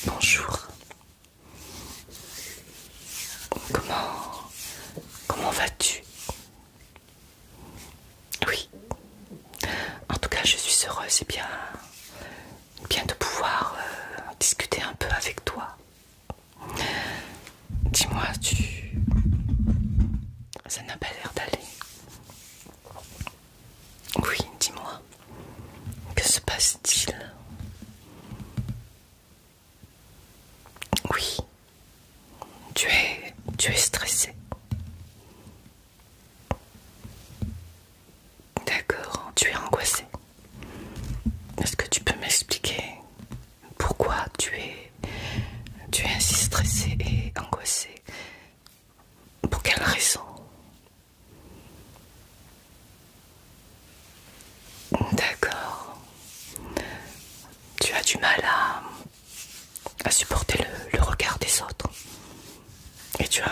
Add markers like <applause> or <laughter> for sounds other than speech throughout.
Bonjour. Comment comment vas-tu Oui. En tout cas, je suis heureuse et bien bien de pouvoir euh, discuter un peu avec toi. Dis-moi, tu ça n'a pas l'air d'aller. Oui, dis-moi, que se passe-t-il Oui, tu es, stressé. D'accord, tu es angoissé. Est-ce que tu peux m'expliquer pourquoi tu es, tu es ainsi stressé et angoissé Pour quelle raison D'accord. Tu as du mal à, supporter le, regard des autres. Et tu, as,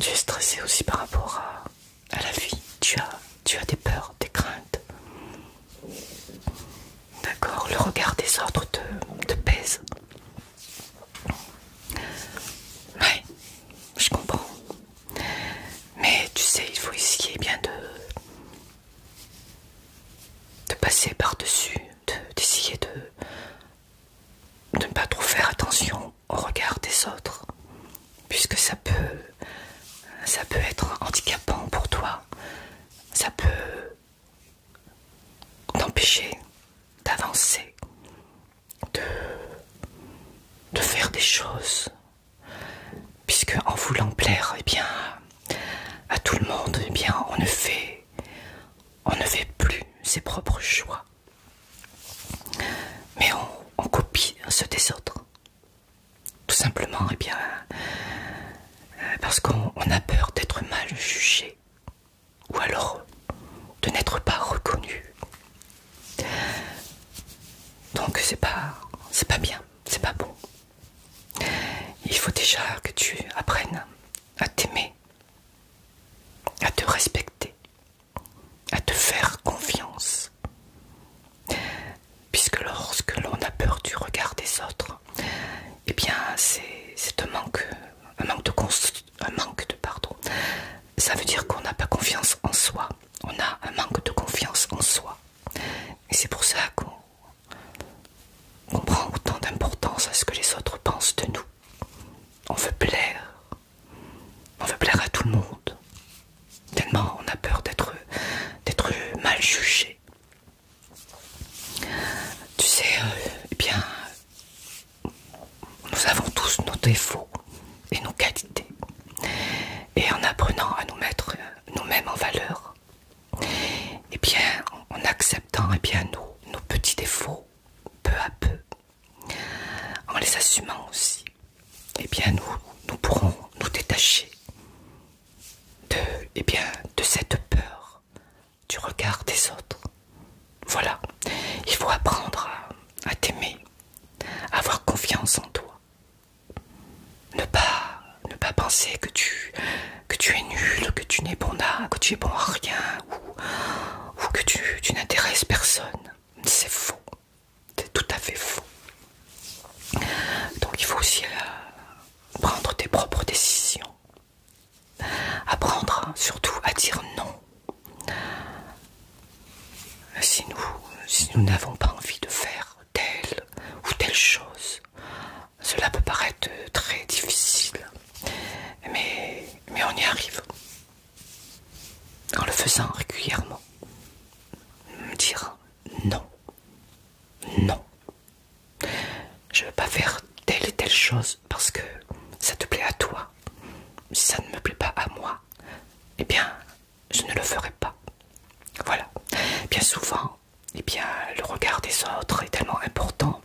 tu es stressé aussi par rapport à, la vie. Tu as, des peurs, des craintes. D'accord, le regard des autres te pèse. Oui, je comprends. Mais tu sais, il faut essayer bien de, de passer par-dessus, d'essayer de, de ne pas trop faire attention au regard des autres, puisque ça peut, ça peut être handicapant pour toi, ça peut t'empêcher d'avancer de, faire des choses, puisque en voulant plaire, eh à tout le monde, eh bien, on ne fait, on ne fait plus ses propres choix, mais on, copie ceux des autres, tout simplement, eh euh, parce qu'on a peur d'être mal jugé ou alors de n'être pas reconnu. Donc c'est pas c'est pas bien, c'est pas bon. Il faut déjà que tu apprennes à t'aimer, à te respecter, à te faire confiance. Puisque lorsque l'on a peur du regard des autres, eh bien c'est un manque, de, conscience un manque de pardon. Ça veut dire qu'on n'a pas confiance en soi. On a un manque de confiance en soi. Et c'est pour ça qu'on prend autant d'importance à ce que les autres pensent de nous. On veut plaire. On veut plaire à tout le monde. Tellement on a peur d'être d'être mal jugé. Tu sais, euh, eh bien, nous avons tous nos défauts et nos qualités. Et en apprenant à nous mettre euh, nous-mêmes en valeur, et eh bien en acceptant eh bien nos, petits défauts peu à peu, en les assumant aussi, et eh bien nous, nous pourrons nous détacher de, et bien, de cette peur du regard des autres. Voilà, il faut apprendre à, à t'aimer, avoir confiance en toi. Ne pas, ne pas penser que tu, es nul, que tu n'es bon à, que tu es bon à rien ou, que tu, n'intéresses personne. C'est faux, c'est tout à fait faux. Donc il faut aussi euh, prendre tes propres décisions. Apprendre hein, surtout à dire non. Si nous n'avons pas envie de faire telle ou telle chose, cela peut paraître très difficile, mais, mais on y arrive. En le faisant régulièrement, dire non, non, je ne veux pas faire telle et telle chose, parce que ça te plaît à toi. Si ça ne me plaît pas à moi, eh bien, je ne le ferai pas. Voilà. Bien souvent, eh bien, le regard des autres est tellement important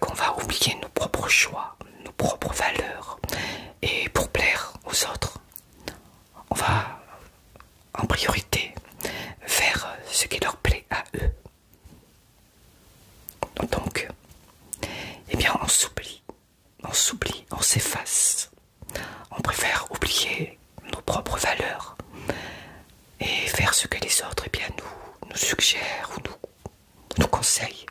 qu'on va oublier nos propres choix, nos propres valeurs. Et pour plaire aux autres, on va en priorité faire ce qui leur plaît à eux. Donc, eh bien, on s'oublie, on s'oublie, on s'efface. On préfère oublier nos propres valeurs et faire ce que les autres eh bien, nous, nous suggèrent ou nous, conseillent.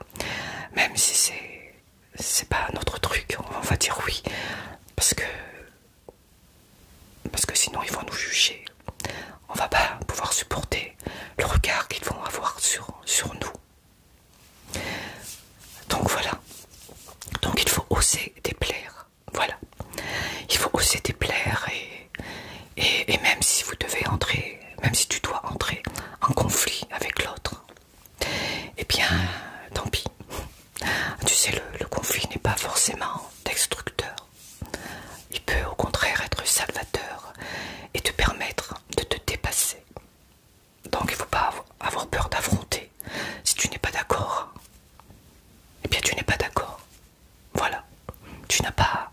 Même si c'est c'est pas notre truc, on va dire oui. Parce que, parce que sinon ils vont nous juger. On va pas pouvoir supporter le regard qu'ils vont avoir sur, nous. Donc voilà. Donc il faut oser déplaire. Voilà. Il faut oser déplaire et, et, même si vous devez entrer, même si tu dois entrer en conflit avec l'autre, eh bien, tant pis. Tu sais, le conflit n'est pas forcément destructeur il peut au contraire être salvateur et te permettre de te dépasser. Donc il ne faut pas avoir peur d'affronter. Si tu n'es pas d'accord, eh bien tu n'es pas d'accord. Voilà. Tu n'as pas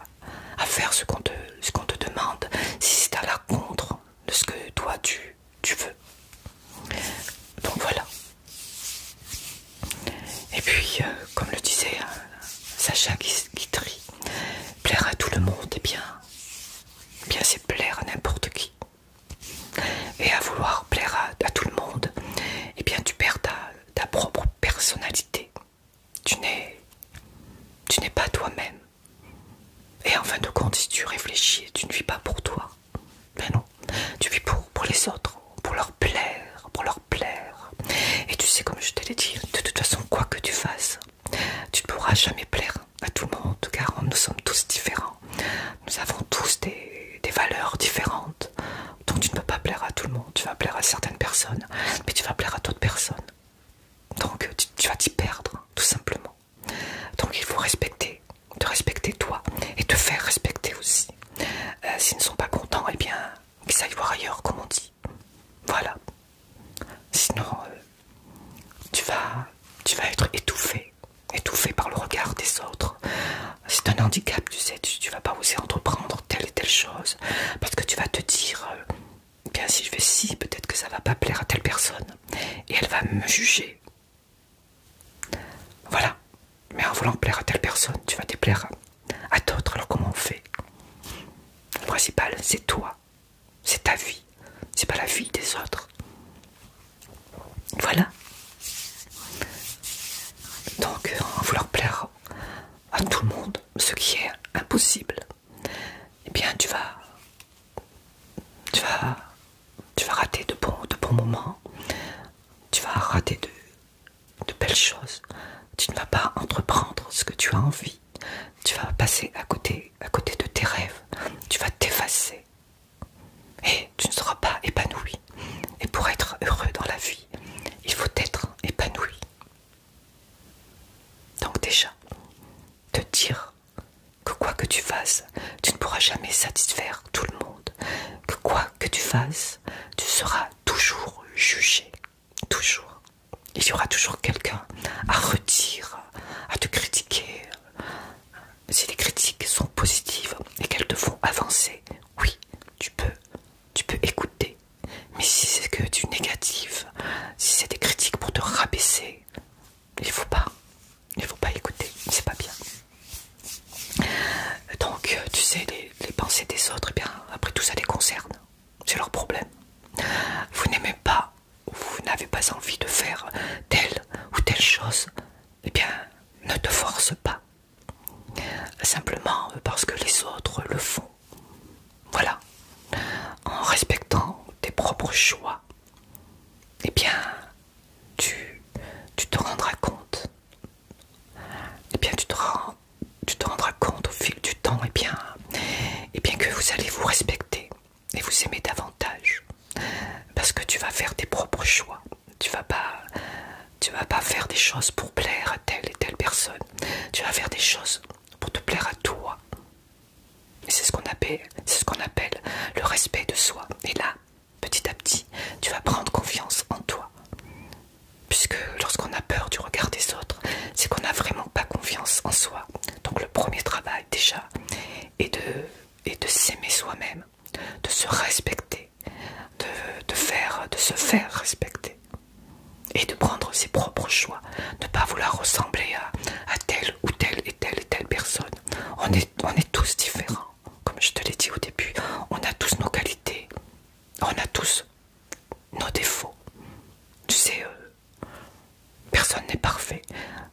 à faire ce qu'on te, qu'on te demande si c'est à la contre de ce que toi tu, veux. Donc voilà. Et puis, euh, comme le disait euh, Sacha Sacha trie, Plaire à tout le monde, eh bien, eh bien c'est plaire à n'importe qui. Et à vouloir plaire à, tout le monde, eh bien tu perds ta, propre personnalité. Tu n'es pas toi-même. Et en fin de compte, si tu réfléchis, tu ne vis pas pour toi. Mais ben non, tu vis pour, pour les autres, pour leur plaire, pour leur plaire. Et tu sais, comme je t'ai dit, de toute façon, quoi que tu fasses, tu ne pourras jamais plaire à tout le monde, car nous sommes tous différents. Nous avons tous des, valeurs différentes. Donc tu ne peux pas plaire à tout le monde. Tu vas plaire à certaines personnes, mais tu vas plaire à d'autres personnes. Donc tu, vas t'y perdre, tout simplement. Donc il faut respecter, te respecter toi et te faire respecter aussi. Euh, s'ils ne sont pas contents, eh bien qu'ils aillent voir ailleurs, comme on dit. Voilà. Sinon, euh, tu, vas, tu vas être étouffé, étouffé par le regard des autres. C'est un handicap, tu sais, tu, vas pas oser entreprendre telle et telle chose parce que tu vas te dire, euh, bien si je fais ci, peut-être que ça va pas plaire à telle personne et elle va me juger. Voilà. Mais en voulant plaire à telle personne, tu vas déplaire à d'autres. Alors comment on fait Le principal, c'est toi, c'est ta vie, c'est pas la vie des autres. Voilà. Donc, en euh, vouloir plaire à tout le monde, ce qui est impossible, eh bien, tu vas, tu vas, tu vas rater de bons, de bons moments. Tu vas rater de belles choses. Tu ne vas pas entreprendre ce que tu as envie. Tu vas passer à côté, à côté de tes rêves. Tu vas t'effacer. Et tu ne seras pas épanoui. Et pour être heureux dans la vie, il faut être épanoui. Donc déjà, te dire que quoi que tu fasses, tu ne pourras jamais satisfaire tout le monde. Que quoi que tu fasses, tu seras toujours jugé. Toujours. Il y aura toujours quelqu'un à redire, à te critiquer. Si les critiques sont positives et qu'elles te font avancer, oui, tu peux, tu peux écouter. Mais si c'est que du négatif, si c'est des critiques pour te rabaisser, il faut pas, il faut pas écouter, c'est pas bien. Donc, tu sais, les, pensées des autres, eh bien, après tout ça les concerne. C'est leur problème. Vous n'aimez pas ou vous n'avez pas envie de faire telle ou telle chose, eh bien, ne te force pas. Simplement parce que les autres le font. Voilà. En respectant tes propres choix, eh bien, tu, te rendras compte. Eh bien, tu te rends tu te rendras compte au fil du temps et eh bien, eh bien que vous allez vous respecter et vous aimer davantage parce que tu vas faire tes propres choix tu vas pas tu vas pas faire des choses pour plaire à telle et telle personne tu vas faire des choses pour te plaire à toi et c'est ce qu'on appelle le respect de soi et là petit à petit tu vas prendre confiance en toi puisque lorsqu'on a peur du regard des autres, c'est qu'on n'a vraiment pas confiance en soi. Donc le premier travail déjà est de, de s'aimer soi-même, de se respecter, de, faire, de se faire respecter et de prendre ses propres choix, ne pas vouloir ressembler à, telle ou telle et telle et telle personne. On est, on est tous différents, comme je te l'ai dit au début, on a tous nos qualités, on a tous nos défauts. Tu sais, euh, personne n'est parfait.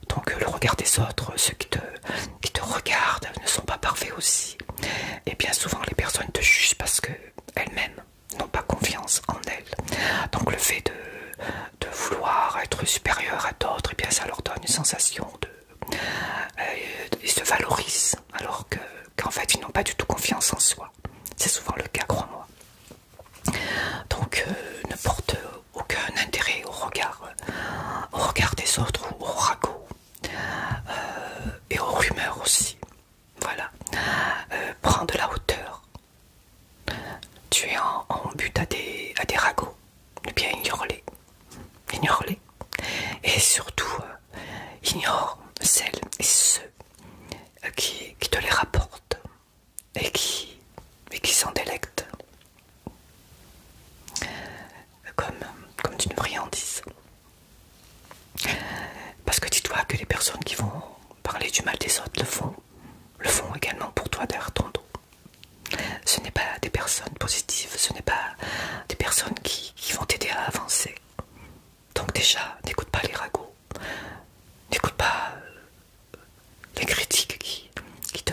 Donc euh, le regard des autres, ceux qui te, te regardent, ne sont pas parfaits aussi. Et bien souvent les personnes te jugent parce que elles-mêmes n'ont pas confiance en elles. Donc le fait de, de vouloir être supérieur à d'autres, et eh bien ça leur donne une sensation de... Euh, ils se valorisent alors que qu'en fait ils n'ont pas du tout confiance en soi. C'est souvent le cas, crois-moi. Donc euh, ne porte aucun intérêt au regard, euh, au regard des autres ou au ragots euh, et aux rumeurs aussi. Voilà. prends de la hauteur. Tu es en, but à des, à ragots. Eh bien, ignore-les. Ignore-les. Et surtout, ignore celles et ceux qui, te les rapporte et qui, mais qui s'en délecte comme, comme d'une friandise. Parce que dis-toi que les personnes qui vont parler du mal des autres le font, le font également pour toi derrière ton dos. Ce n'est pas des personnes positives, ce n'est pas des personnes qui vont t'aider à avancer. Donc déjà, n'écoute pas les ragots, n'écoute pas euh, les critiques qui, te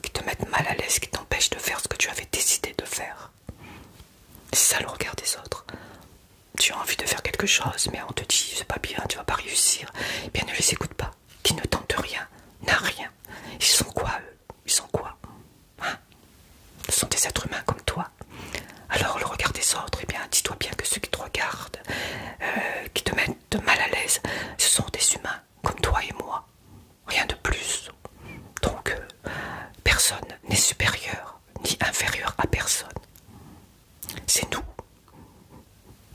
qui te mettent mal à l'aise, qui t'empêchent de faire ce que tu avais décidé de faire. C'est ça le regard des autres. Tu as envie de faire quelque chose, mais on te dit c'est pas bien, tu vas pas réussir. Eh bien, ne les écoute pas. Qui ne tente rien, n'a rien. Ils sont quoi eux Ils sont quoi hein Ce sont des êtres humains comme toi. Alors le regard des autres, eh bien, dis-toi bien que ceux qui te regardent, euh, qui te mettent mal à l'aise, ce sont des humains comme toi et moi. Rien de plus. Donc, euh, personne n'est supérieur ni inférieur à personne. C'est nous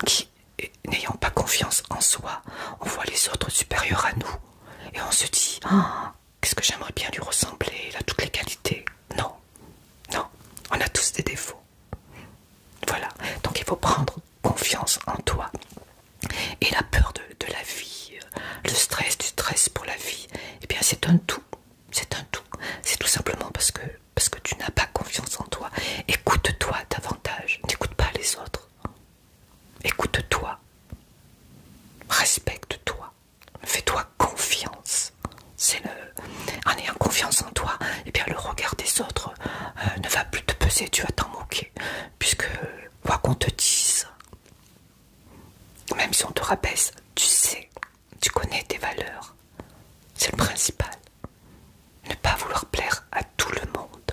qui, n'ayant pas confiance en soi, on voit les autres supérieurs à nous et on se dit ah, Qu'est-ce que j'aimerais bien lui ressembler, il a toutes les qualités. Non, non, on a tous des défauts. Voilà, donc il faut prendre confiance en toi. Et la peur de, la vie, euh, le stress, du stress pour la vie, et eh bien c'est un tout, c'est un tout. C'est tout simplement parce que tu n'as pas confiance en toi. Écoute-toi davantage, n'écoute pas les autres. Écoute-toi, respecte-toi. Fais-toi confiance. C'est En ayant confiance en toi, et eh bien le regard des autres euh, ne va plus te peser, tu vas t'en moquer. Puisque, quoi qu'on te dise, même si on te rabaisse, tu sais, tu connais tes valeurs. C'est le principal. Ne pas vouloir plaire à tout le monde,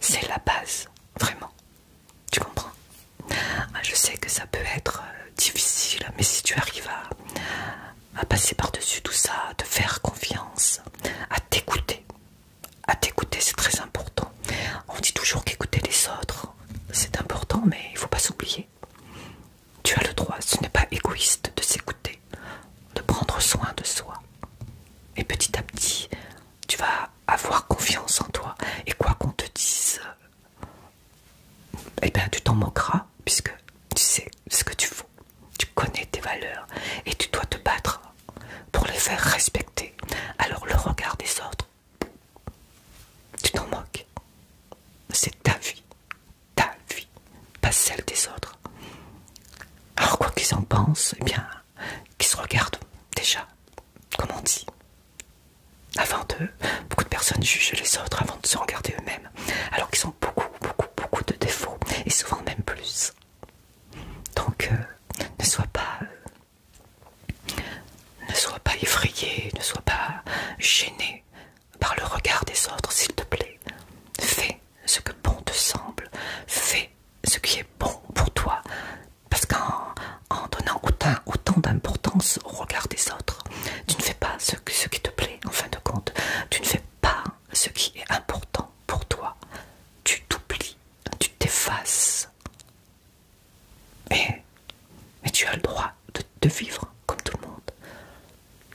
c'est la base, vraiment. Tu comprends ah, Je sais que ça peut être euh, difficile, mais si tu arrives à, passer par-dessus tout ça, à te faire confiance, à t'écouter, à t'écouter, c'est très important. On dit toujours qu'écouter les autres, c'est important, mais il ne faut pas s'oublier. Tu as le droit, ce n'est pas égoïste de s'écouter, de prendre soin de soi. Et petit à petit, tu vas avoir confiance en toi. Et quoi qu'on te dise, et eh bien, tu t'en moqueras puisque tu sais ce que tu veux. tu connais tes valeurs et tu dois te battre pour les faire respecter. Alors, le regard des autres, tu t'en moques. C'est ta vie, ta vie, pas celle des autres. Alors, quoi qu'ils en pensent, eh bien, qu'ils se regardent déjà, comme on dit, avant d'eux, beaucoup de personnes jugent les autres avant de se regarder eux-mêmes, alors qu'ils ont beaucoup, beaucoup, beaucoup de défauts, et souvent même plus. Donc, euh, ne sois pas... Euh, ne sois pas effrayé, ne sois pas gêné par le regard des autres, s'il te plaît. Fais ce que bon te semble, fais ce qui est bon pour toi, parce qu'en donnant autant, autant d'importance au regard des autres. Tu ne fais pas ce, ce qui te plaît en fin de compte. Tu ne fais pas ce qui est important pour toi. Tu t'oublies, tu t'effaces. Mais, tu as le droit de, de vivre comme tout le monde.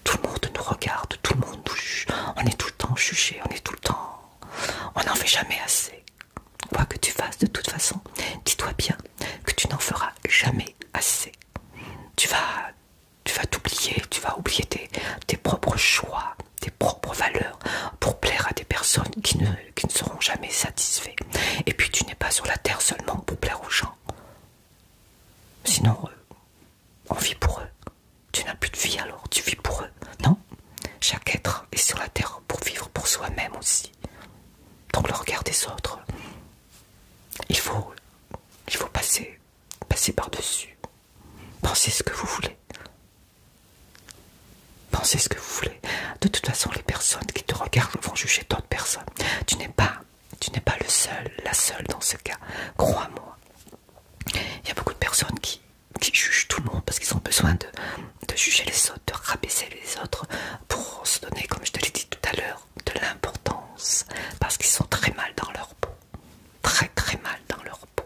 Tout le monde nous regarde, tout le monde nous juge. On est tout le temps jugé, on est tout le temps... On n'en fait jamais assez. Quoi que tu fasses de toute façon, dis-toi bien que tu n'en feras jamais assez tu vas t'oublier, tu vas oublier tes, propres choix, tes propres valeurs pour plaire à des personnes qui ne, seront jamais satisfaites. Et puis tu n'es pas sur la terre seulement pour plaire aux gens. Sinon, euh, on vit pour eux. Tu n'as plus de vie alors, tu vis pour eux. Non, chaque être est sur la terre pour vivre pour soi-même aussi. Donc le regard des autres il faut, passer, passer par-dessus. Pensez ce que vous voulez. Pensez ce que vous voulez. De toute façon, les personnes qui te regardent vont juger d'autres personnes. Tu n'es pas, tu n'es pas le seul, la seule dans ce cas. Crois-moi. Il y a beaucoup de personnes qui, jugent tout le monde parce qu'ils ont besoin de, de juger les autres, de rabaisser les autres pour se donner, comme je te l'ai dit tout à l'heure, de l'importance parce qu'ils sont très mal dans leur peau, très très mal dans leur peau.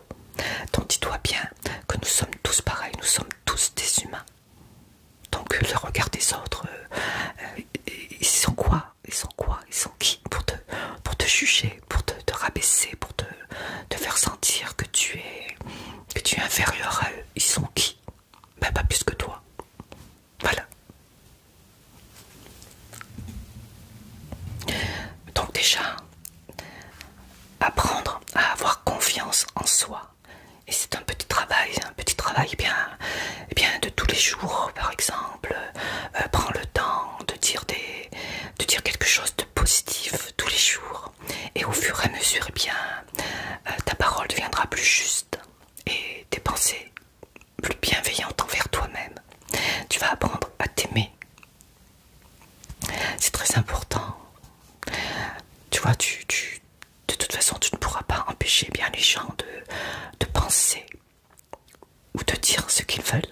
Donc dis-toi bien que nous sommes tous pareils, nous sommes tous des humains. Donc euh, le regard des autres, euh, euh, ils sont quoi Ils sont quoi Ils sont qui pour te, pour te juger, pour te, rabaisser, pour te, te faire sentir que tu es que tu es inférieur à eux. Ils sont qui Ben pas plus que toi. Voilà. Donc déjà, apprendre à avoir confiance en soi. Et c'est un petit travail, un petit travail bien, bien de tous les jours, par exemple. Euh, prends le temps de dire, des, de dire quelque chose de positif tous les jours. Et au fur et à mesure, eh bien, euh, ta parole deviendra plus juste et tes pensées plus bienveillantes envers toi-même. Tu vas apprendre à t'aimer. C'est très important. Tu vois, de toute façon, tu ne pourras pas empêcher bien les gens de, de penser ou de dire ce qu'ils veulent.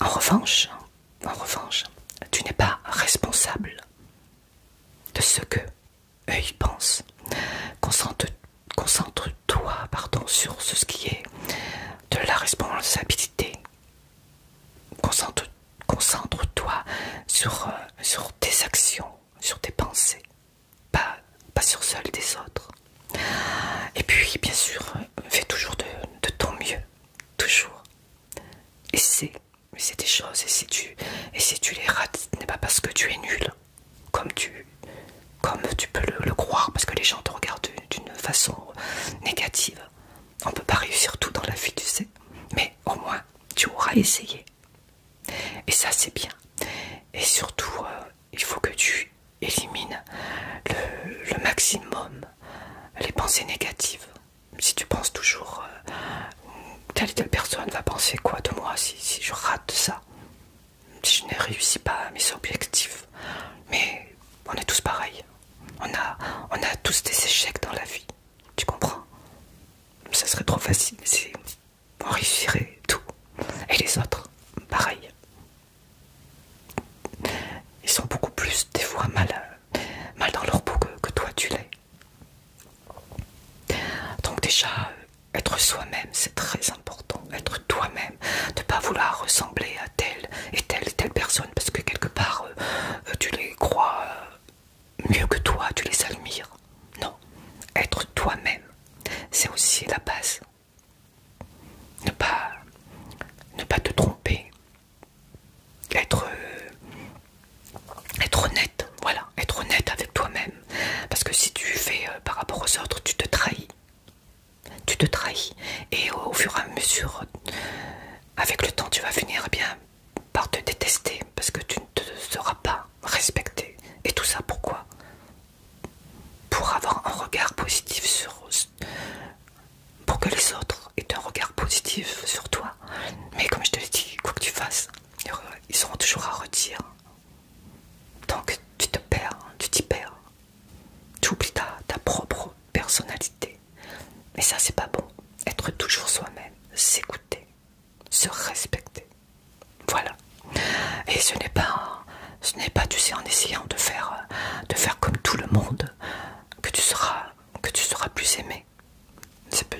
En revanche, en revanche, tu n'es pas responsable de ce que œil pense. Concentre-toi sur ce qui est de la responsabilité. Concentre-toi sur, euh, sur tes actions, sur tes pensées, pas, pas sur celles des autres. Et puis, bien sûr, fais toujours de, de ton mieux, toujours. Essaie mais c'est des choses, et si tu, et si tu les rates, ce n'est pas parce que tu es nul, comme tu, comme tu peux le, croire, parce que les gens te regardent d'une façon négative. On ne peut pas réussir tout dans la vie, tu sais, mais au moins tu auras essayé. Et ça, c'est bien. Et surtout, euh, il faut que tu élimines le, maximum les pensées négatives. Si tu penses toujours euh, telle et telle personne va penser quoi de moi si, si je rate ça, si je n'ai réussi pas à mes objectifs. Mais on est tous pareils. On a, on a tous des échecs dans la vie. Tu comprends Ça serait trop facile si on réussirait tout. Et les autres, pareil. Ils sont beaucoup plus, des fois, mal, mal dans leur peau que toi tu l'es. Donc déjà, euh, être soi-même, c'est très important. Être toi-même, ne pas vouloir ressembler à telle et telle et telle personne parce que quelque part, euh, euh, tu les crois mieux que toi, tu les admires. Non, être toi-même, c'est aussi la base. Ne pas, ne pas te tromper. Être, être honnête, voilà, être honnête avec toi-même. Parce que si tu fais euh, par rapport aux autres, tu te trahis. Tu te trahis. Et au, fur et à mesure, avec le temps, tu vas finir bien par te détester. Parce que tu ne te seras pas respecté. Et tout ça, pourquoi Pour avoir un regard positif sur... Pour que les autres aient un regard positif sur toi. Mais comme je te l'ai dit, quoi que tu fasses, ils seront toujours à redire. Tant que tu te perds, tu t'y perds. Tu oublies ta, propre personnalité. Mais ça, c'est pas bon. Être toujours soi-même, s'écouter, se respecter. Voilà. Et ce n'est pas, ce n'est pas, tu sais, en essayant de faire, de faire comme tout le monde que tu seras, que tu seras plus aimé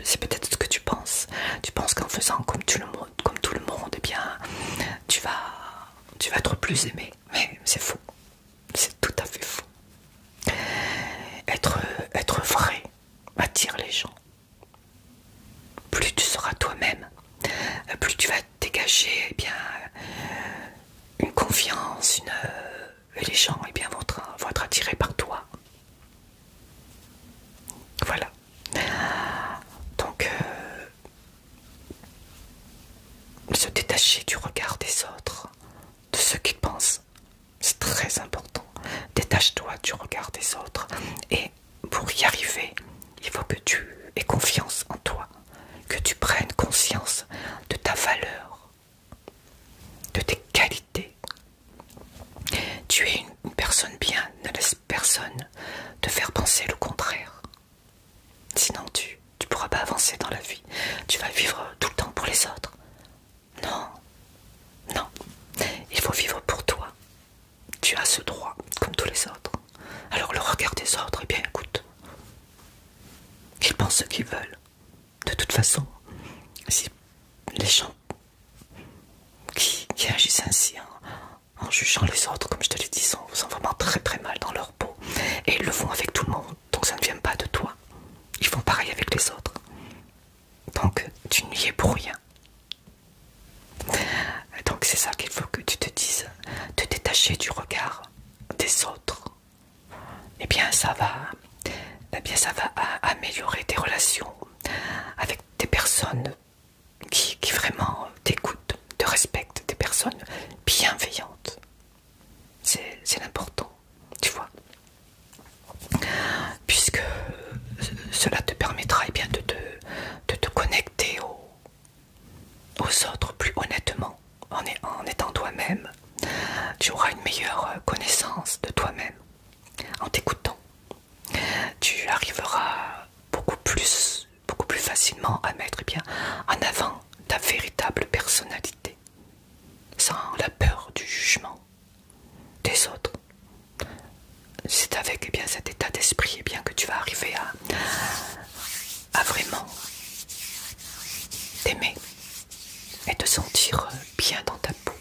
c'est peut-être ce que tu penses. Tu penses qu'en faisant comme tout, le monde, eh bien, tu vas, tu vas être plus aimé. Mais c'est faux. C'est tout à fait faux. Être, être vrai attire les gens. Plus tu seras toi-même, plus tu vas dégager eh bien, une confiance, euh, et les gens eh bien, vont être attirés par toi. Voilà. Donc, euh, se détacher du regard des autres, de ce qu'ils pensent, c'est très important. Détache-toi du regard des autres. Et pour y arriver, il faut que tu aies confiance en toi, que tu prennes conscience de ta valeur, de tes qualités, tu es une, personne bien, ne laisse personne te faire penser le contraire. Sinon, tu ne pourras pas avancer dans la vie. Tu vas vivre tout le temps pour les autres. Non, non, il faut vivre pour toi. Tu as ce droit, comme tous les autres. Alors le regard des autres, eh bien écoute, qu'ils pensent ce qu'ils veulent. De toute façon, si les gens qui, agissent ainsi en, jugeant les autres, comme je te l'ai dit, sont, sont vraiment très très mal dans leur peau. Et ils le font avec tout le monde, donc ça ne vient pas de toi. Ils font pareil avec les autres. Donc tu n'y es pour rien. Donc c'est ça qu'il faut que tu te dises, te détacher du regard des autres. et eh bien ça va, eh bien, ça va améliorer tes relations avec des personnes qui, vraiment t'écoutent, te respectent, des personnes bienveillantes. C'est l'important, tu vois. Puisque cela te permettra eh bien, de, te, connecter aux, autres plus honnêtement, en étant toi-même. Tu auras une meilleure connaissance de toi-même en t'écoutant, tu arriveras beaucoup plus, beaucoup plus facilement à mettre eh bien, en avant ta véritable personnalité, sans la peur du jugement des autres. C'est avec eh bien, cet état d'esprit eh bien, que tu vas arriver à, à vraiment t'aimer et te sentir bien dans ta peau.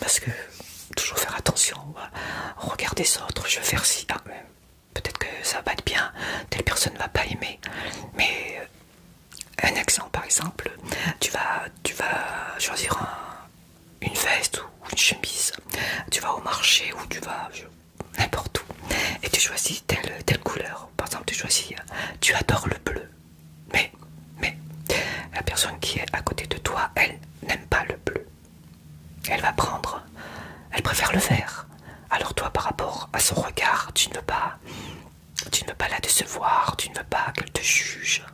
Parce que toujours faire attention, regarder les autres, je vais faire ci. Ah, peut-être que ça va être bien, telle personne ne va pas aimer. Mais euh, un accent par exemple, tu vas, tu vas choisir une veste ou une chemise, tu vas au marché ou tu vas n'importe où et tu choisis telle, telle couleur. Par exemple, tu choisis, euh, tu adores le bleu mais, mais, la personne qui est à côté de toi, elle n'aime pas le bleu. Elle va prendre, elle préfère le vert. Alors toi, par rapport à son regard, tu ne veux pas, tu ne pas la décevoir, tu ne veux pas qu'elle te juge.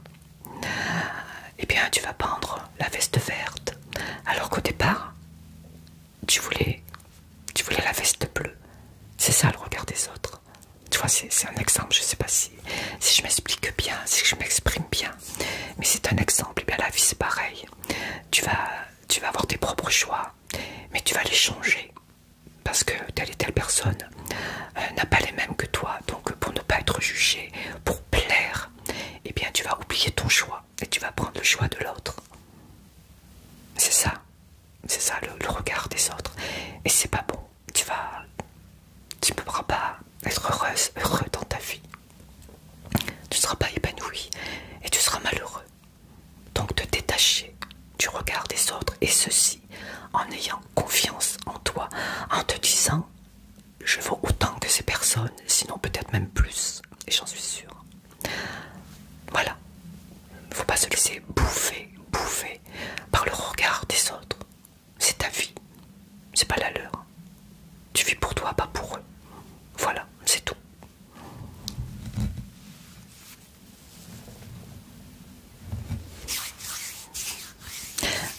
Eh bien, tu vas prendre la veste verte. Alors qu'au départ, tu voulais, tu voulais la veste bleue. C'est ça le regard des autres. Tu vois, c'est un exemple, je sais pas si, je m'explique bien, si je m'exprime bien, mais c'est un exemple. Et eh bien la vie c'est pareil. Tu vas, tu vas avoir tes propres choix, mais tu vas les changer parce que telle et telle personne euh, n'a pas les mêmes que toi. Donc pour ne pas être jugé, pour plaire, et eh bien tu vas oublier ton choix et tu vas prendre le choix de l'autre. C'est ça, c'est ça le, le regard des autres. Et c'est pas bon tu ne pourras pas être heureuse, heureux dans ta vie. Tu ne seras pas épanoui et tu seras malheureux. Donc te détacher du regard des autres et ceci en ayant confiance en toi, en te disant je vaux autant que ces personnes, sinon peut-être même plus, et j'en suis sûre. Voilà, Il ne faut pas se laisser bouffer, bouffer, par le regard des autres. C'est ta vie, c'est pas la leur. Tu vis pour toi, pas pour eux. Voilà, c'est tout.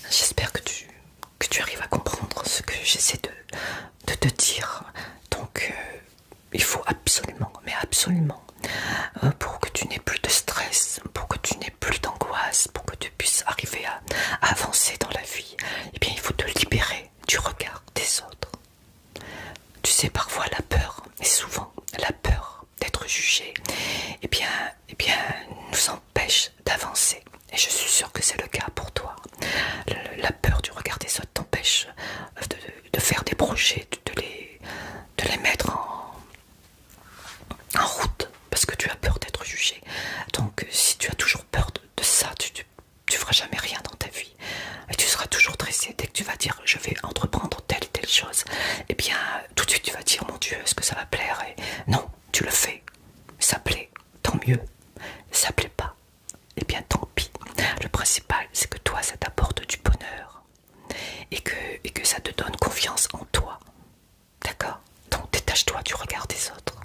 J'espère que tu, arrives à comprendre ce que j'essaie de, te dire. Donc, euh, il faut absolument, mais absolument euh, pour que tu n'aies plus de stress, pour que tu n'aies plus d'angoisse, pour que tu puisses arriver à, avancer dans la vie, eh bien il faut te libérer du regard des autres. Tu sais, parfois la peur, et souvent la peur d'être jugée eh bien, eh bien nous empêche d'avancer. Et je suis sûre que c'est le cas pour toi. la peur du regard des autres t'empêche de, faire des projets, de les mettre en, en route parce que tu as peur d'être jugé. Donc euh, si tu as toujours peur de, ça, tu, ne feras jamais rien dans ta vie. Et tu seras toujours tressé dès que tu vas dire je vais entreprendre telle telle chose. Et eh bien tout de suite tu vas dire mon Dieu, est-ce que ça va plaire et Non, tu le fais. Ça plaît, tant mieux. Ça plaît pas. Et eh bien tant pis. Le principal c'est que toi ça t'apporte du bonheur et que, ça te donne confiance en toi. D'accord Donc détache-toi du regard des autres.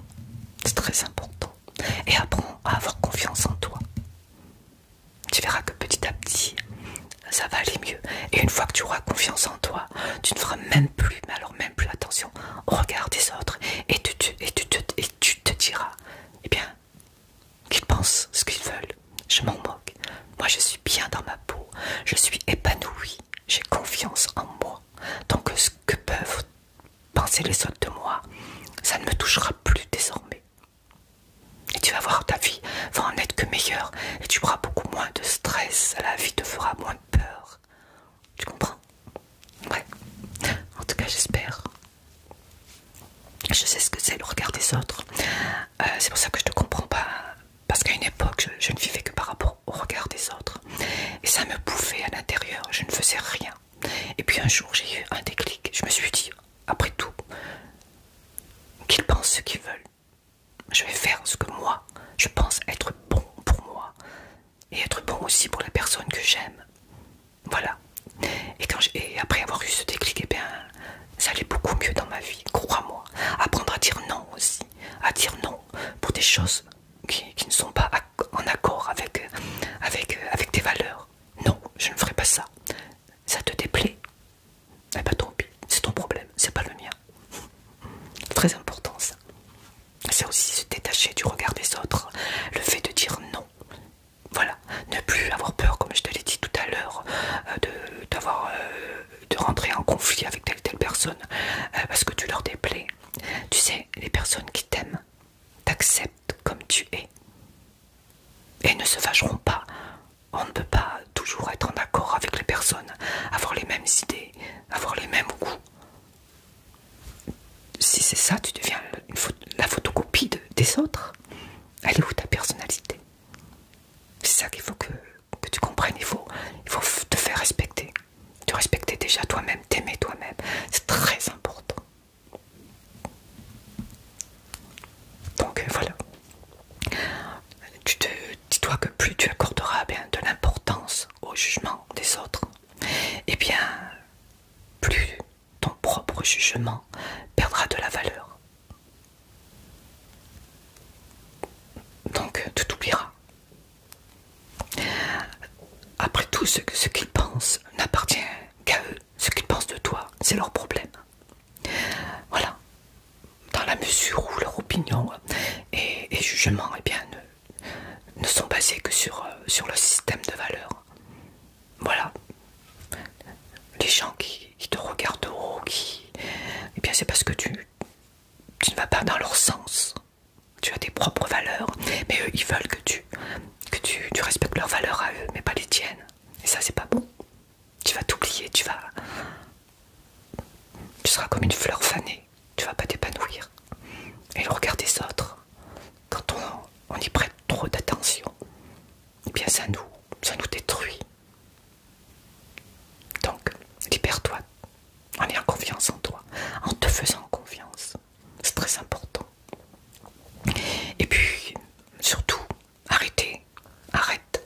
C'est très important. Et apprends à avoir confiance en toi. Tu verras que petit à petit, ça va aller mieux. Et une fois que tu auras confiance en toi, tu ne feras même plus, mais alors même plus attention au regard des autres. Et tu, et tu te diras, eh bien, qu'ils pensent ce qu'ils veulent je m'en moque. Moi, je suis bien dans ma peau, je suis épanouie, j'ai confiance en moi. Donc, ce que peuvent penser les autres de moi, ça ne me touchera plus désormais. Et tu vas voir, ta vie va en être que meilleure et tu auras beaucoup moins de stress, la vie te fera moins peur. Tu comprends Ouais. En tout cas, j'espère. Je sais ce que c'est le regard des autres. Euh, c'est pour ça que je ne te comprends pas. Parce qu'à une époque, je, ne vivais que par rapport au regard des autres. Et ça me bouffait à l'intérieur. Je ne faisais rien. Et puis un jour, j'ai eu un déclic. Je me suis dit, après tout, qu'ils pensent ce qu'ils veulent. Je vais faire ce que moi, je pense être bon pour moi. Et être bon aussi pour la personne que j'aime. Voilà. Et, quand et après avoir eu ce déclic, et eh bien, ça allait beaucoup mieux dans ma vie, crois-moi. Apprendre à dire non aussi, à dire non pour des choses qui, ne sont pas en accord avec, euh, avec, euh, avec tes valeurs. Non, je ne ferai pas ça. Ça te déplaît Eh ben tant pis, c'est ton problème, c'est pas le mien. Très important ça. C'est aussi se détacher du regard des autres, le fait de dire non. Voilà, ne plus avoir peur, comme je te l'ai dit tout à l'heure, euh, d'avoir de rentrer en conflit avec telle telle personne euh, parce que tu leur déplais. Tu sais, les personnes qui t'aiment t'acceptent comme tu es et ne se fâcheront pas. On ne peut pas toujours être en accord avec les personnes, avoir les mêmes idées, avoir les mêmes goûts. Si c'est ça, tu deviens la photocopie des autres. Elle est où ta personnalité c'est ça qu'il faut que, tu comprennes. Il faut, te faire respecter. Te respecter déjà toi-même, t'aimer toi-même. C'est très important. Donc euh, voilà. Tu te dis-toi que plus tu accorderas bien, de l'importance au jugement des autres, et eh bien plus ton propre jugement perdra de la valeur. Donc tu t'oublieras. Après tout, ce, qu'ils pensent n'appartient qu'à eux. Ce qu'ils pensent de toi, c'est leur problème. Voilà. Dans la mesure où leur opinion et, jugement eh ne, sont basés que sur, euh, sur le système de valeurs. Voilà les gens qui, te regardent haut, qui... Eh bien c'est parce que tu, tu ne vas pas dans leur sens. Tu as tes propres valeurs, mais eux ils veulent que tu, que tu, respectes leurs valeurs à eux, mais pas les tiennes. Et ça c'est pas bon. Tu vas t'oublier, tu vas... Tu seras comme une fleur fanée, tu vas pas t'épanouir. Et le regard des autres, quand on, on y prête trop d'attention, eh bien ça nous ça nous détruit. Donc, libère-toi en ayant confiance en toi, en te faisant confiance. C'est très important. Et puis, surtout, arrêtez, arrête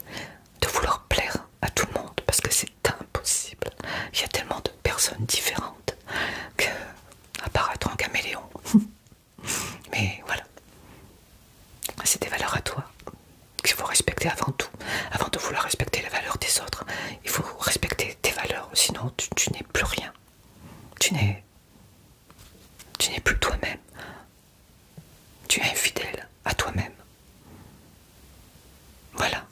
de vouloir plaire à tout le monde parce que c'est impossible. Il y a tellement de personnes différentes que apparaître en caméléon. <laughs> Mais voilà, c'est des valeurs à toi qu'il faut respecter avant tout. Avant de vouloir respecter les valeurs des autres, il faut respecter tes valeurs. Sinon, tu, n'es plus rien. tu n'es plus toi-même. Tu es infidèle à toi-même. Voilà.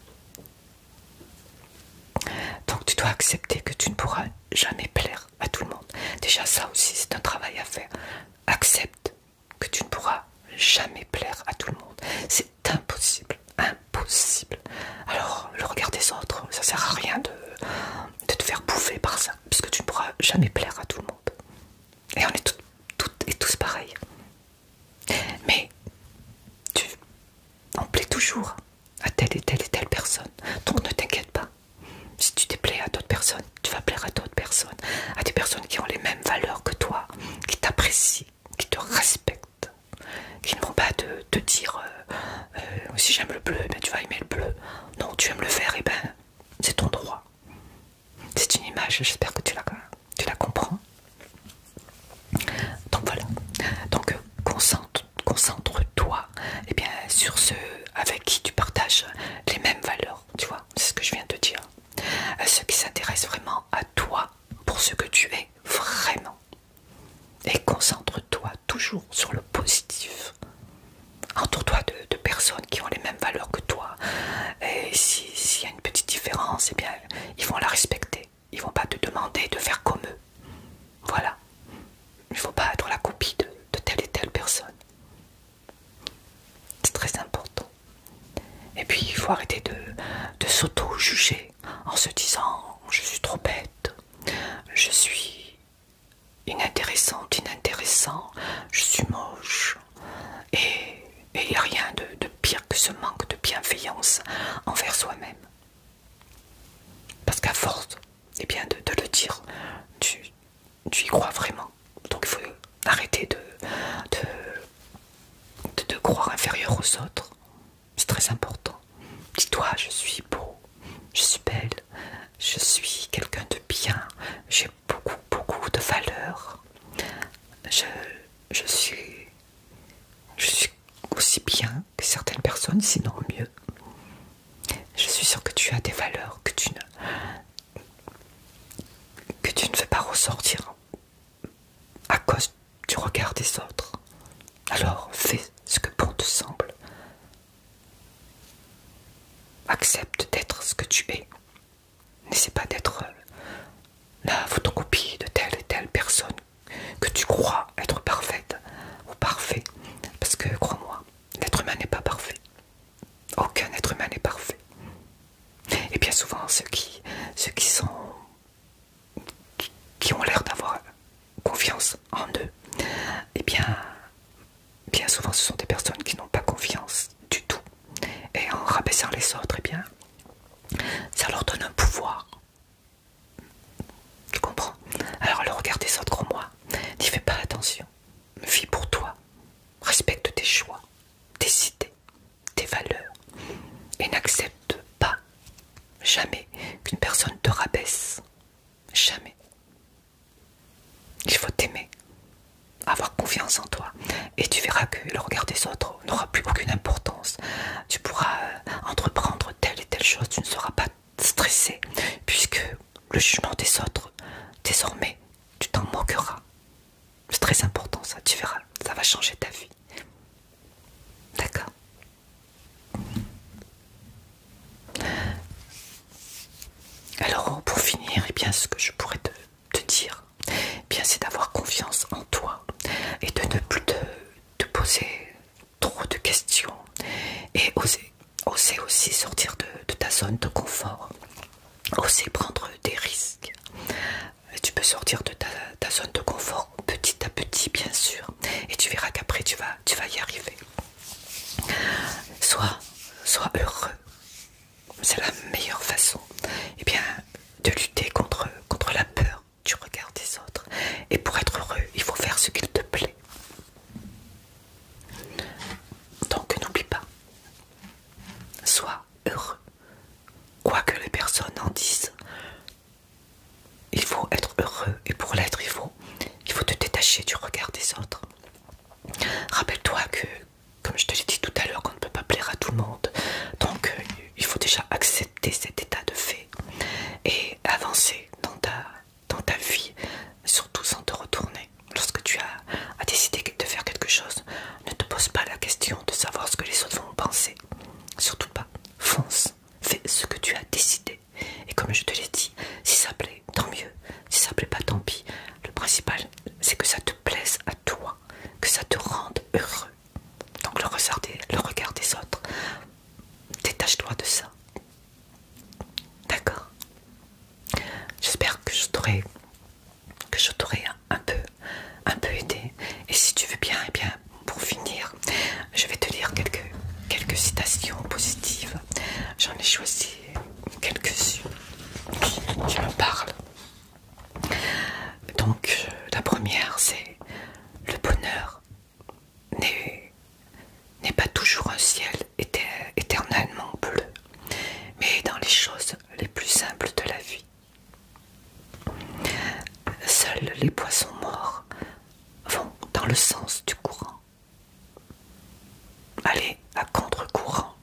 Donc tu dois accepter que tu ne pourras jamais plaire à tout le monde. Déjà ça aussi c'est un travail à faire. Accepte que tu ne pourras jamais plaire à tout le monde. C'est impossible, impossible. Alors, le regard des autres, ça sert à rien de, te faire bouffer par ça, puisque tu ne pourras jamais plaire à tout le monde. Et on est toutes, et tous pareils. Mais tu, on plaît toujours à telle et telle et telle personne, donc ne t'inquiète pas si tu déplais à d'autres personnes, tu vas plaire à d'autres personnes, à des personnes qui ont les mêmes valeurs que toi, qui t'apprécient, qui te respectent, qui ne vont pas te, dire euh, euh, si j'aime le bleu, ben, tu vas aimer le bleu. Non, tu aimes le vert, et eh ben c'est ton droit. C'est une image, j'espère que tu la, tu la comprends. Donc voilà. Donc concentre-toi eh sur ceux avec qui tu partages les mêmes valeurs, tu vois, c'est ce que je viens de dire. Euh, ceux qui s'intéressent vraiment à toi, pour ce que tu es vraiment. Et concentre-toi toujours sur le positif. Entoure-toi de, personnes qui ont les mêmes valeurs que toi. Et s'il y a une petite différence, eh bien, ils vont la respecter. Ils vont pas te demander de faire comme eux. Voilà. Il ne faut pas être la copie de telle et telle personne. C'est très important. Et puis il faut arrêter de, s'auto-juger en se disant je suis trop bête, je suis inintéressante, inintéressant, je suis moche. Et il n'y a rien de, pire que ce manque de bienveillance envers soi-même. Parce qu'à force eh bien, de le dire, tu, tu y crois vraiment. Donc il faut arrêter de, de, croire inférieur aux autres. C'est très important. Dis-toi, je suis beau, je suis belle, je suis quelqu'un de bien, j'ai beaucoup, beaucoup de valeurs. Je, suis, suis aussi bien que certaines personnes, sinon mieux. Je suis sûr que tu as des valeurs que tu ne, que tu ne veux pas ressortir à cause du regard des autres. Alors fais ce que bon te semble. Accepte d'être ce que tu es. N'essaie pas d'être la photocopie de telle et telle personne que tu crois être parfaite ou parfait. Parce que crois-moi, L'être humain n'est pas parfait. Aucun être humain n'est parfait. Et bien souvent, ceux qui, sont qui ont l'air d'avoir confiance en eux, et eh bien, bien souvent, ce sont des personnes qui n'ont pas confiance du tout. Et en rabaissant les autres, et eh bien, ça leur donne un pouvoir. Tu comprends Alors, le regard des autres, moi n'y fais pas attention. fie pour toi, Respecte tes choix, tes idées, tes valeurs et n'accepte pas jamais qu'une personne te rabaisse. Jamais. Il faut t'aimer, avoir confiance en toi et tu verras que le regard des autres n'aura plus aucune importance. Tu pourras euh, entreprendre telle et telle chose, tu ne seras pas stressé puisque le jugement des autres désormais tu t'en moqueras. C'est très important ça, tu verras, ça va changer ta vie. D'accord Alors pour finir, et eh bien, ce que je pourrais te, dire, eh bien c'est d'avoir confiance en toi et de ne plus te poser trop de questions et oser oser aussi sortir de, ta zone de confort, oser prendre des risques. tu peux sortir de ta, zone de confort petit à petit, bien sûr, et tu verras qu'après tu vas, y arriver. Sois, heureux, c'est la meilleure façon eh bien, de lutter contre, contre la peur du regard des autres. Et pour être heureux, il faut faire ce qu'il te plaît. Donc n'oublie pas, Sois heureux. Quoi que les personnes en disent, il faut être heureux et pour l'être, il faut, il faut te détacher du regard des autres. Rappelle-toi que, comme je te l'ai dit tout à l'heure, on ne peut pas plaire à tout le monde. Donc, euh, il faut déjà accepter cet état de fait et avancer dans ta vie surtout sans te retourner. Lorsque tu as, décidé de faire quelque chose, ne te pose pas la question de savoir ce que les autres vont penser. Surtout pas. Fonce. Fais ce que tu as décidé. Et comme je te l'ai dit, si ça plaît, tant mieux. Si ça plaît pas, tant pis. Le principal, c'est que ça te plaise à toi, que ça te rende heureux. Donc le le regard des autres, détache-toi de ça. D'accord J'espère que je t'aurai un peu un peu aidé. Et si tu veux bien, et eh bien pour finir, je vais te lire quelques, citations positives. J'en ai choisi quelques-unes qui, qui me parlent. Donc la première c'est le bonheur n'est pas toujours un ciel éternellement bleu mais dans les choses les plus simples de la vie. Seuls les poissons morts vont dans le sens du courant. Aller à contre-courant,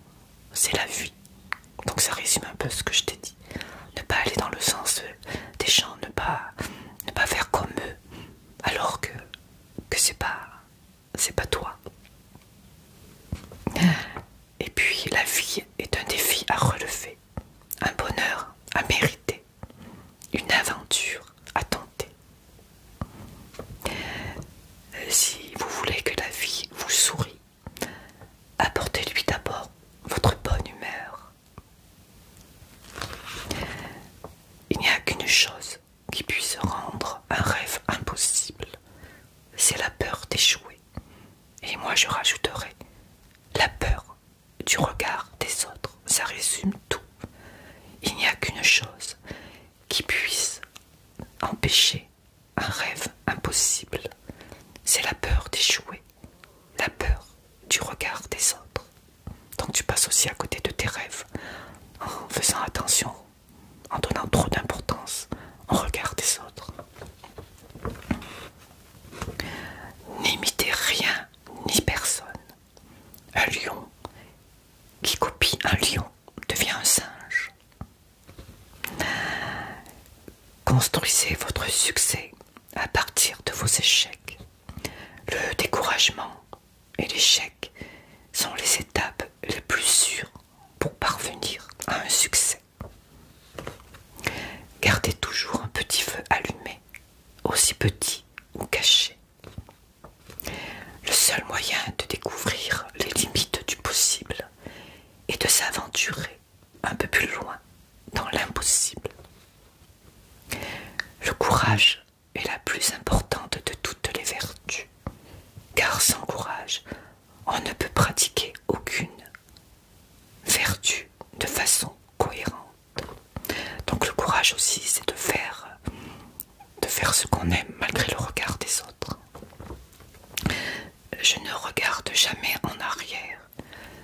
c'est la vie. Donc ça résume un peu ce que je t'ai dit. Ne pas aller dans le sens des gens, ne pas, ne pas faire comme eux, alors que, que c'est pas c'est pas toi. Et puis la vie est un défi à relever, un bonheur à mériter, une aventure à tenter. Si vous voulez que la vie vous sourie, apportez-lui d'abord votre bonne humeur. Il n'y a qu'une chose qui puisse rendre un rêve impossible, c'est la peur d'échouer. Et moi je rajouterai la peur du regard des autres. Ça résume tout. Il n'y a qu'une chose qui puisse empêcher un rêve impossible. C'est la peur d'échouer, la peur du regard des autres. Donc tu passes aussi à côté de tes rêves en faisant attention en donnant trop d'importance au regard des autres. N'imitez rien ni personne. Un lion qui copie un lion devient un singe. Construisez votre succès à partir de vos échecs. Le découragement et l'échec sont les étapes les plus sûres pour parvenir à un succès. Gardez toujours un petit feu allumé, aussi petit ou caché. Le seul moyen de découvrir les limites du possible est de s'aventurer un peu plus loin dans l'impossible. Le courage est la plus importante de toutes les vertus car sans courage, on ne peut pratiquer aucune vertu de façon cohérente. Donc le courage aussi, c'est de faire, de faire ce qu'on aime malgré le regard des autres. Je ne regarde jamais en arrière.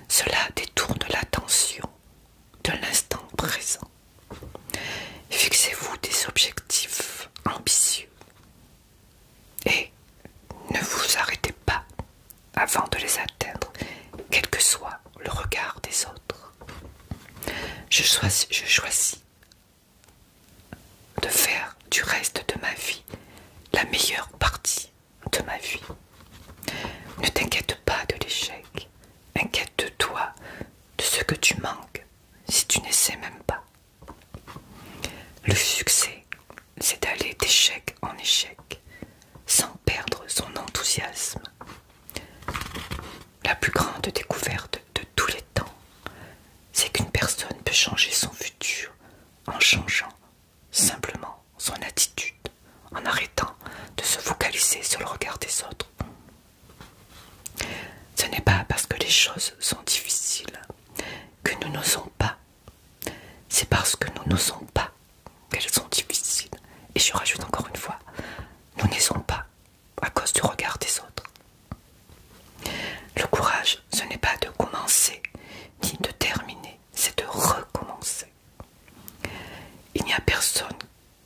Cela détourne l'attention de l'instant présent. Fixez-vous des objectifs ambitieux et ne vous arrêtez pas avant de les atteindre, quel que soit le regard des autres. Je choisis, je choisis de faire du reste de ma vie la meilleure partie de ma vie. Ne t'inquiète pas de l'échec, inquiète-toi de ce que tu manques si tu n'essaies même pas. Le succès, c'est d'aller d'échec en échec, sans perdre son enthousiasme. La plus grande découverte de tous les temps, c'est qu'une personne peut changer son futur en changeant simplement son attitude, en arrêtant de se focaliser sur le regard des autres ce n'est pas parce que les choses sont difficiles que nous n'osons pas. C'est parce que nous n'osons pas qu'elles sont difficiles. Et je rajoute encore une fois, nous n'osons pas à cause du regard des autres. Le courage, ce n'est pas de commencer ni de terminer, c'est de recommencer. Il n'y a personne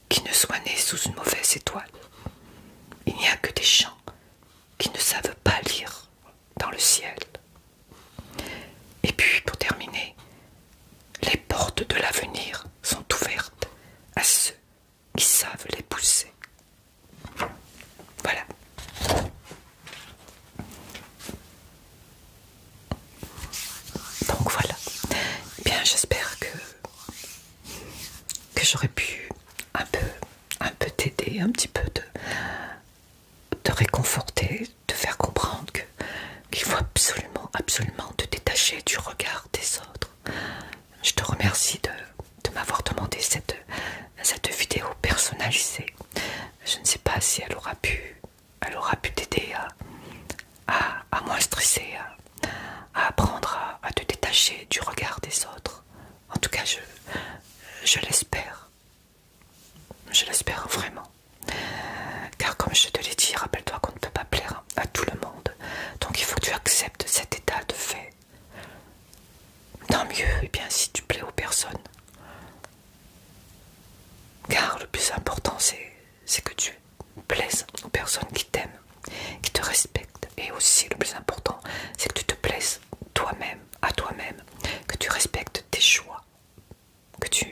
qui ne soit né sous une mauvaise étoile. Il n'y a que des champs qui ne savent pas lire dans le ciel. Et puis, pour terminer, les portes de l'avenir sont ouvertes à ceux qui savent les pousser. Voilà. Donc voilà. Bien, j'espère que que j'aurais pu un peu, un peu t'aider, un petit peu te, réconforter, te faire comprendre que qu'il faut absolument, absolument te détacher du regard des autres. Je te remercie de, m'avoir demandé cette, vidéo personnalisée. Je ne sais pas si elle aura pu elle pu t'aider à, moins stresser, à apprendre à, te détacher du regard des autres. En tout cas, je, l'espère. Je l'espère vraiment. Car comme je te l'ai dit, rappelle-toi qu'on ne peut pas plaire à tout le monde. Donc il faut que tu acceptes cet état de fait. Tant mieux, et eh bien si tu plais aux personnes. Car le plus important, c'est que tu plaises aux personnes qui t'aiment qui te respecte Et aussi, le plus important, c'est que tu te plaises toi-même, à toi-même, que tu respectes tes choix, que tu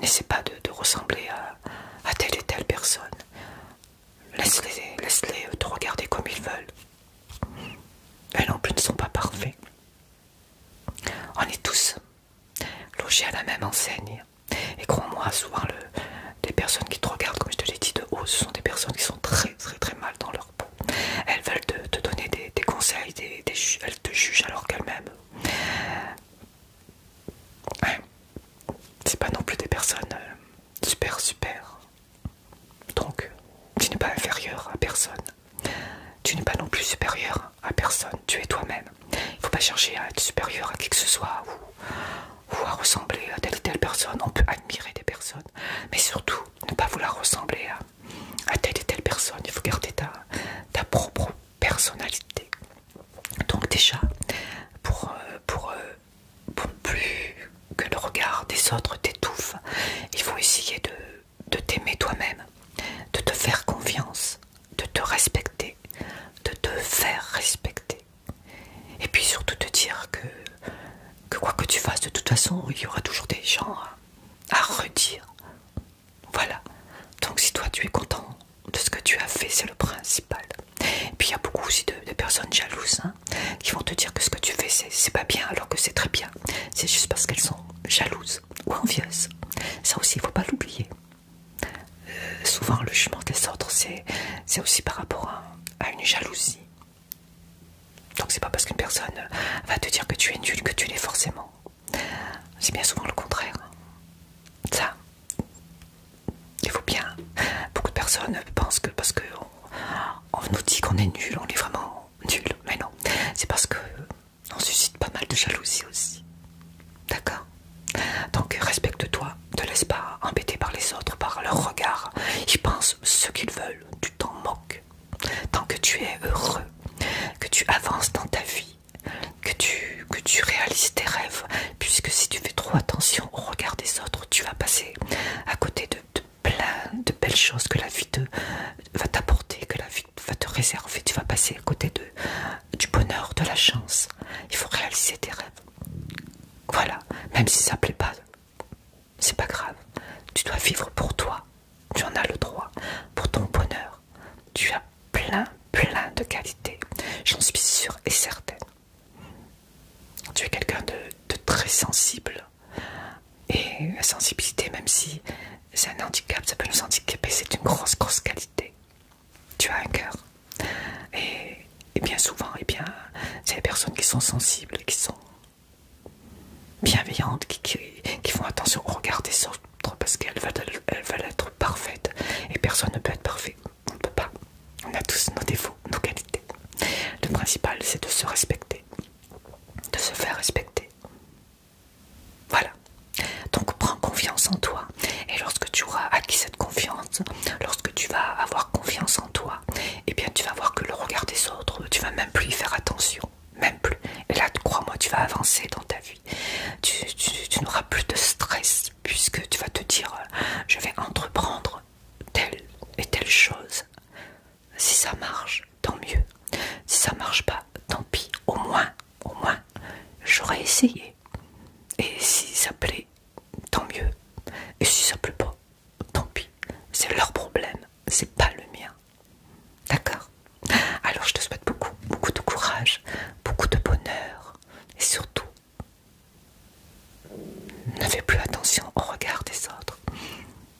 n'essaies pas de, ressembler à, telle et telle personne. Laisse-les laisse euh, te regarder comme ils veulent. Elles non plus ne sont pas parfaits. On est tous logés à la même enseigne. Et crois-moi, souvent le, les personnes qui te regardent, comme je te l'ai dit de haut, ce sont des personnes qui sont très très très mal dans leur peau. Elles veulent te, donner des, conseils, des, elles te jugent alors qu'elles-mêmes. C'est pas non plus des personnes euh, super super. Donc, tu n'es pas inférieur à personne. Tu n'es pas non plus supérieur à personne. Tu es toi-même. Il ne faut pas chercher à être supérieur à qui que ce soit ou ou à ressembler à telle ou telle personne. On peut admirer des personnes, mais surtout ne pas vouloir ressembler à, telle et telle personne. Il faut garder ta, ta propre personnalité. Donc déjà, pour, euh, pour, euh, pour plus que le regard des autres t'étouffe, il faut essayer de t'aimer toi-même, de te faire confiance, de te respecter, de te faire respecter. Et puis surtout te dire que, que quoi que tu fasses, de toute façon, il y aura toujours des gens à, redire. Voilà. Donc si toi tu es content de ce que tu as fait, c'est le principal. Et puis il y a beaucoup aussi de, personnes jalouses hein, qui vont te dire que ce que tu fais, c'est pas bien alors que c'est très bien. C'est juste parce qu'elles sont jalouses ou envieuses. Ça aussi, il faut pas l'oublier. Euh, souvent, le jugement des autres, c'est aussi par rapport à à une jalousie. Donc c'est pas parce qu'une personne euh, va te dire que tu es nul que tu l'es forcément. C'est bien souvent le contraire. Ça, il faut bien. Beaucoup de personnes pensent que parce qu'on nous dit qu'on est nul, on est vraiment nul. Mais non, c'est parce que on suscite pas mal de jalousie aussi. D'accord Donc respecte-toi ne te laisse pas embêter par les autres, par leur regard. Ils pensent ce qu'ils veulent, tu t'en moques. Tant que tu es heureux, que tu avances dans ta vie, que tu, que tu réalises tes rêves, puisque si tu fais trop attention au regard des autres, tu vas passer à côté de, plein de belles choses que la vie va t'apporter, que la vie va te réserver. Tu vas passer à côté du bonheur, de la chance. Il faut réaliser tes rêves. Voilà, même si ça plaît pas, c'est pas grave. Tu dois vivre pour toi, tu en as le droit, pour ton bonheur. Tu as plein, plein de qualités, j'en suis sûre et certaine. Tu es quelqu'un de, de très sensible. Et la sensibilité, même si c'est un handicap, ça peut nous handicaper, c'est une grosse, grosse qualité. Tu as un cœur et, bien souvent, et eh bien, c'est les personnes qui sont sensibles, qui sont bienveillantes, qui, font attention au oh, regard des autres parce qu'elles veulent, être parfaites. Et personne ne peut être parfait. On ne peut pas. On a tous nos défauts, nos qualités. Le principal, c'est de se respecter, de se faire respecter. Voilà. Donc prends confiance en toi et lorsque tu auras acquis confiance, lorsque tu vas avoir confiance en toi, et eh bien tu vas voir que le regard des autres, tu vas même plus y faire attention, même plus. Et là, crois-moi, tu vas avancer dans ta vie. Tu, n'auras plus de stress puisque tu vas te dire, euh, je vais entreprendre telle et telle chose. Si ça marche, tant mieux. Si ça marche pas, tant pis. Au moins, au moins, j'aurais essayé. Et si ça plaît, tant mieux. Et si ça pleut pas, tant pis. C'est leur problème, c'est pas le mien. D'accord Alors je te souhaite beaucoup, beaucoup de courage, beaucoup de bonheur. Et surtout, ne fais plus attention au regard des autres.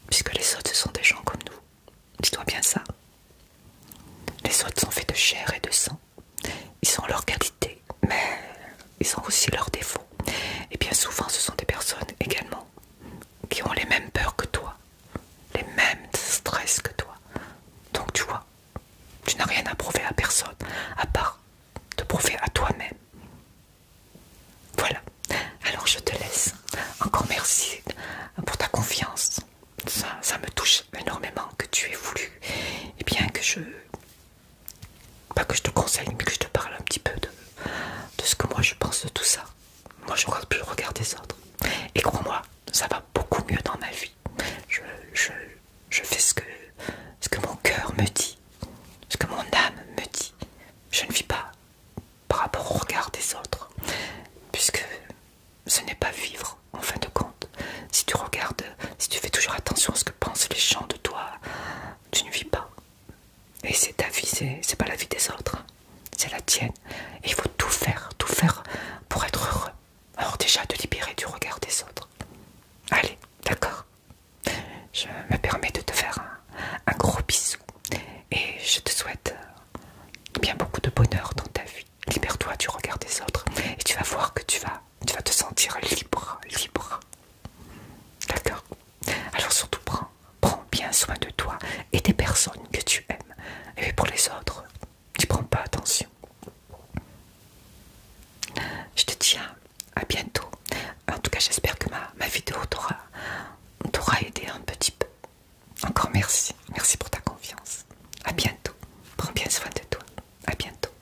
Puisque les autres, ce sont des gens comme nous. Dis-toi bien ça. Les autres sont faits de chair et de sang. Ils ont leurs qualités, mais ils ont aussi leurs défauts. Et bien souvent, ce sont des personnes également qui ont les mêmes peurs que toi, les mêmes stress que toi. Donc tu vois, tu n'as rien à prouver à personne, à part te prouver à toi-même. Voilà. Alors je te laisse. Encore merci pour ta confiance. Ça, ça me touche énormément que tu aies voulu et eh bien que je pas que je te conseille, mais que je te parle un petit peu de, de ce que moi je pense de tout ça. Moi je regarde plus le regard des autres. Et crois-moi, ça va beaucoup mieux dans ma vie. Je, fais ce que, ce que mon cœur me dit, ce que mon âme me dit. Je ne vis pas par rapport au regard des autres, puisque ce n'est pas vivre en fin de compte. Si tu regardes, si tu fais toujours attention à ce que pensent les gens, toi, tu ne vis pas. Et c'est ta vie, c'est pas la vie des autres, c'est la tienne. il faut tout faire, tout faire pour être heureux. Alors déjà de libérer du regard des autres. Allez, d'accord. Je me permets de te faire un gros bisou et je te souhaite euh, bien beaucoup de bonheur dans ta vie. Libère-toi du regard des autres et tu vas voir que tu vas, tu vas te sentir libre, libre, d'accord Alors surtout, prends, bien soin de toi et des personnes que tu aimes. Et pour les autres, tu prends pas attention. Je te tiens à, bientôt. En tout cas, j'espère que ma, vidéo t'aura aidé un petit peu. Encore merci. Merci pour ta confiance. À bientôt. Prends bien soin de toi. À bientôt.